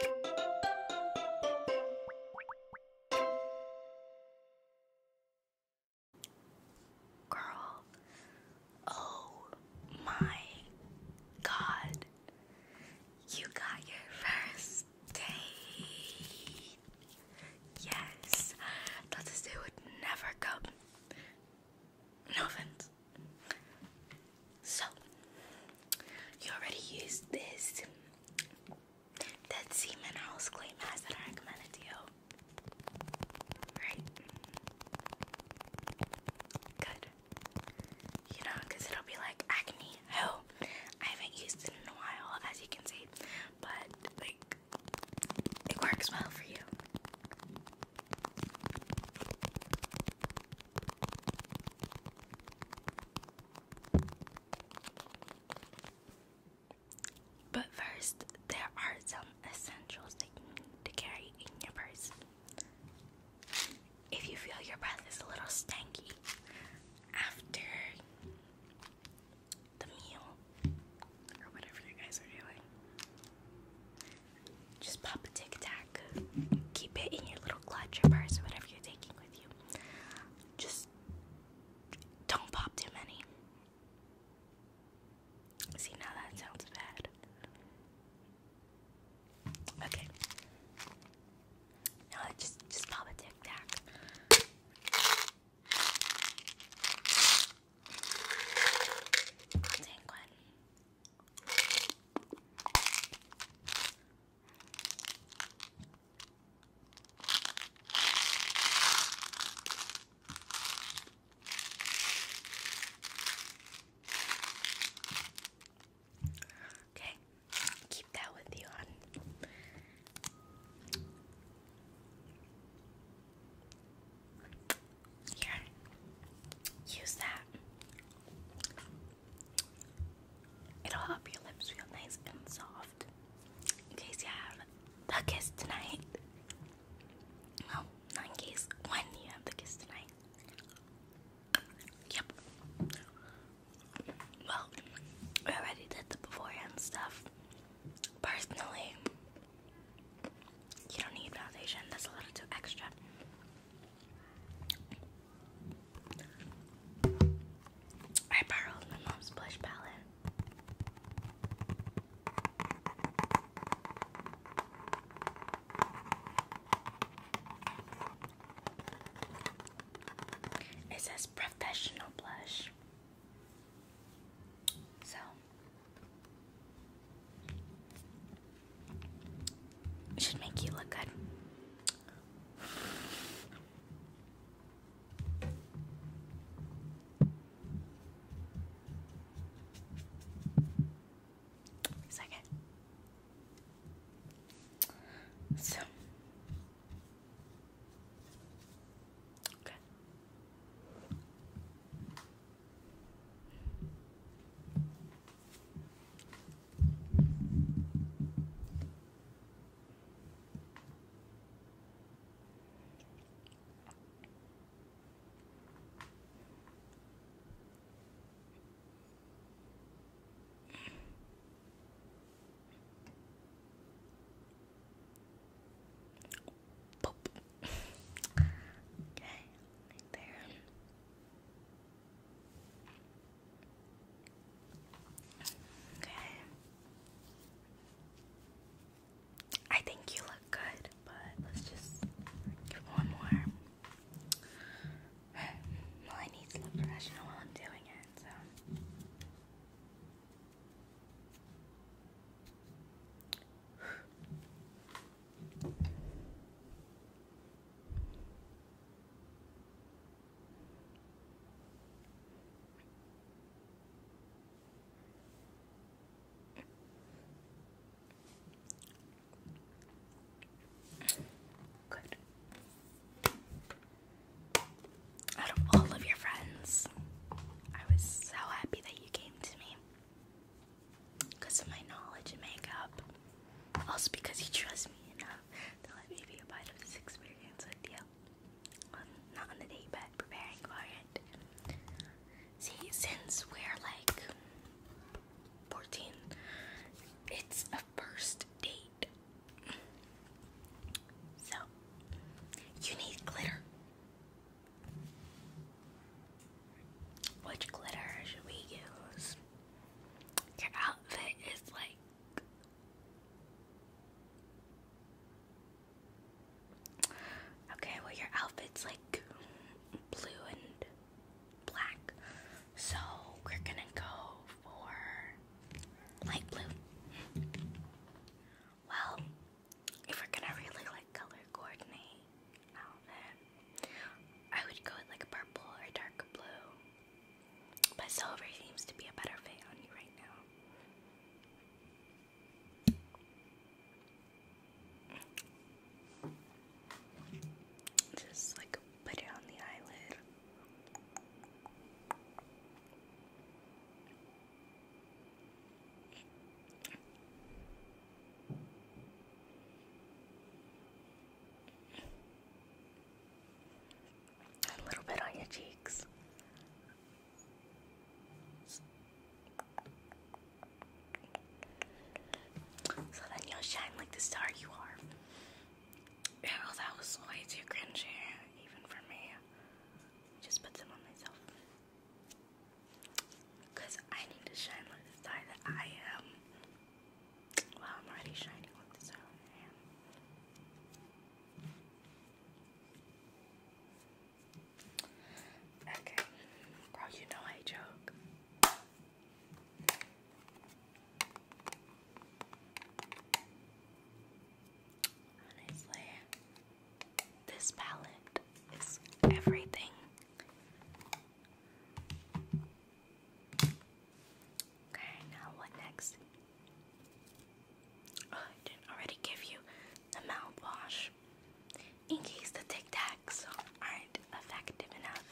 Girl, oh my god, you got your first date. Yes, that's a day would never come. No offense. So, you already used this Dead Sea House clay mask that I recommended to you, right? Good. You know, because it'll be like acne. Oh, I haven't used it in a while, as you can see, but like it works well for you. But first, there are some essentials to carry in your purse. If you feel your breath is a little stanky after the meal or whatever you guys are doing, just pop a tic tac Keep it in your little clutch or purse or whatever you're taking with you. Just don't pop too many. See, now that sounds bad. Okay. Now just just pop a tic tac. Dang Okay, keep that with you on. Here, use that. It'll help your lips feel nice and soft. In case you have the kiss tonight. No, not in case when you have the kiss tonight. Yep. Well, we already did the beforehand stuff. Personally, you don't need foundation. That's a little too extra. I borrowed my mom's blush palette. It says professional blush. So should make you look good. Second. So. Okay. Boop. Okay, right there. Okay. I think you look good, but let's just give one more. Well, I need to look professional while I'm doing it, so. Good. Out of all of your friends, I was so happy that you came to me because of my knowledge and makeup. Also because he trusts me enough to let me be a part of this experience with you. Well, not on the date, but preparing for it. See, since we're like 14, it's a first date. So, you need glitter. Which glitter should we use? Your outfit is like. Okay, well, your outfit's like blue and black. So we're gonna go for light blue. Well, if we're gonna really like color coordinate, I would go like purple or dark blue. But silver seems to be a better fit on you right now. Just like put it on the eyelid. A little bit on your cheeks. So then you'll shine like the star you are. Yeah, that was way too even for me. Just put some on myself. I need to shine like the star that I am. Wow, I'm already shining with this out. Okay, bro, you know I joke. Honestly, this palette is everything. Okay, now what next? Oh, I did already give you the mouthwash in case the tic tacs aren't effective enough.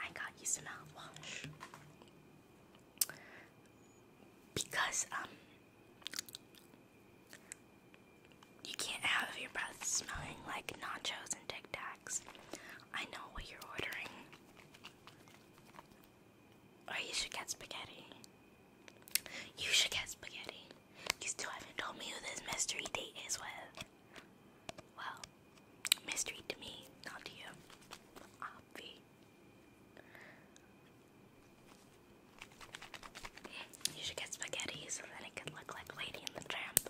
I got you some mouthwash because um you can't have your breath smelling like nachos and Tic Tacs. I know what you're ordering. Or you should get spaghetti. You should get spaghetti. You still haven't told me who this mystery date is with. Well, mystery to me, not to you. Obvi. You should get spaghetti so that it can look like Lady in the Tramp.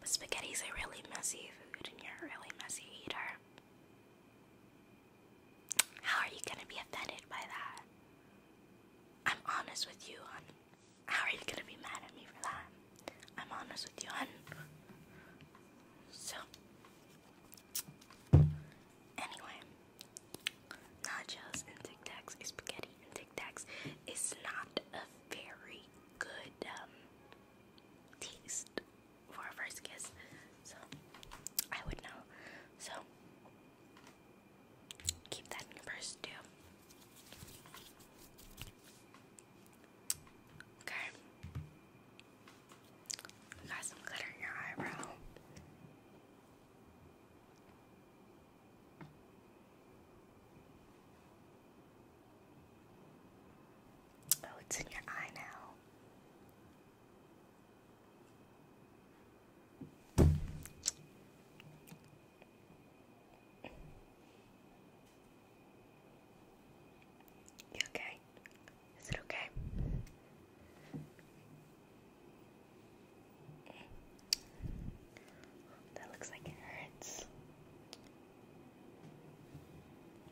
But spaghetti is a really messy food and you're a really messy eater. How are you gonna be offended by that? I'm honest with you, hon. How are you gonna be mad at me for that? I'm honest with you, hon. So, Anyway, nachos and Tic Tacs, spaghetti and Tic Tacs is not a very good um, taste for a first kiss, so I would know. So keep that in your purse too. Okay. Got some glitter in your eyebrow. Oh, it's in your eye now. You okay? Is it okay? Mm. That looks like it hurts.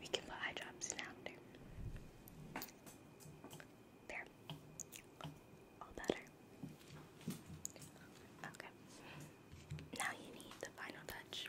We can put eye drops now, There. All better. Okay. Now you need the final touch.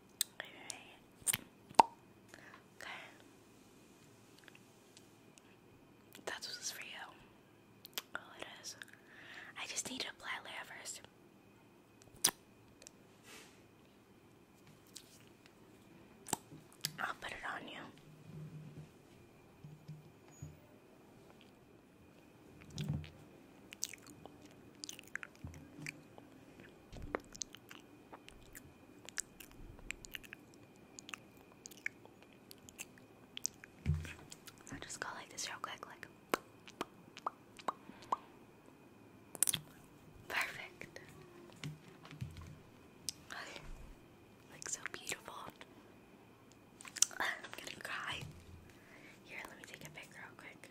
Okay. That's what's for you. Oh, it is. I just need to apply layer first. I'll put it on you i just go like this real quick, like perfect. Like so beautiful. I'm gonna cry. Here, let me take a pic real quick.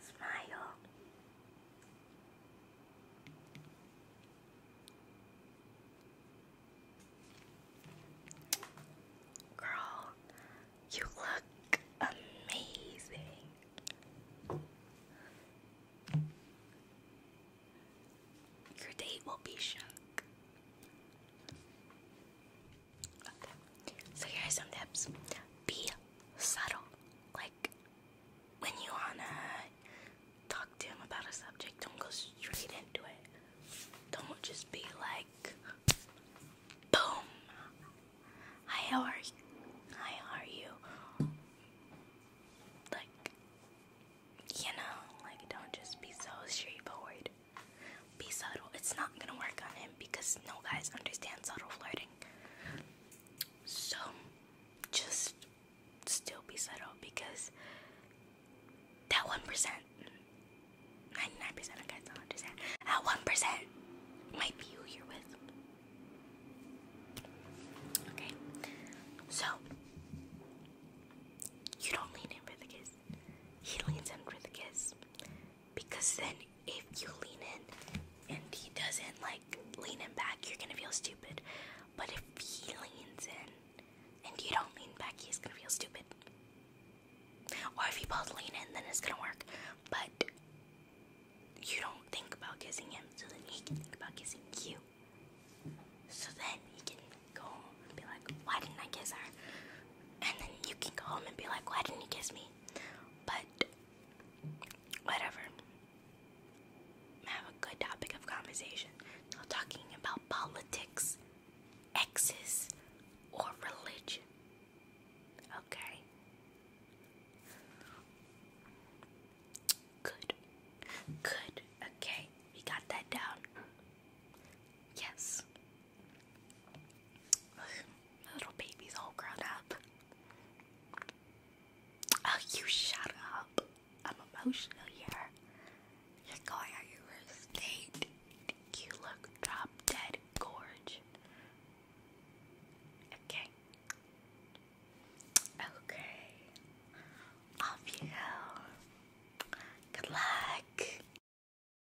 Smile. Girl, you look amazing. Your date will be shook. So here are some tips. Be subtle. Like when you wanna talk to him about a subject, don't go straight into it. Don't just be like boom. Hi, how are you? how are you? Like you know, like don't just be so straightforward. Be subtle. It's not gonna work on him because no guys understand subtle flirting. So just still be subtle because that 1%, 99% of guys don't understand, that 1% might be who you're with. Okay? So, you don't lean in for the kiss. He leans in for the kiss. Because then if you lean in and he doesn't like lean in back, you're gonna feel stupid. But if he leans in and you don't lean back, he's gonna feel stupid. Or if you both lean in, then it's gonna work. But you don't think about kissing him, so then he can think about kissing you. So then he can go home and be like, Why didn't I kiss her? And then you can go home and be like, Why didn't he kiss me? But whatever. Have a good topic of conversation. Not talking about politics, exes, or religion. Okay. Good. Good. Okay. We got that down. Yes. My little baby's all grown up. Oh, you shut up. I'm emotional here. You're going on your worst date. You look drop dead gorge. Okay. Okay. Off you Good luck.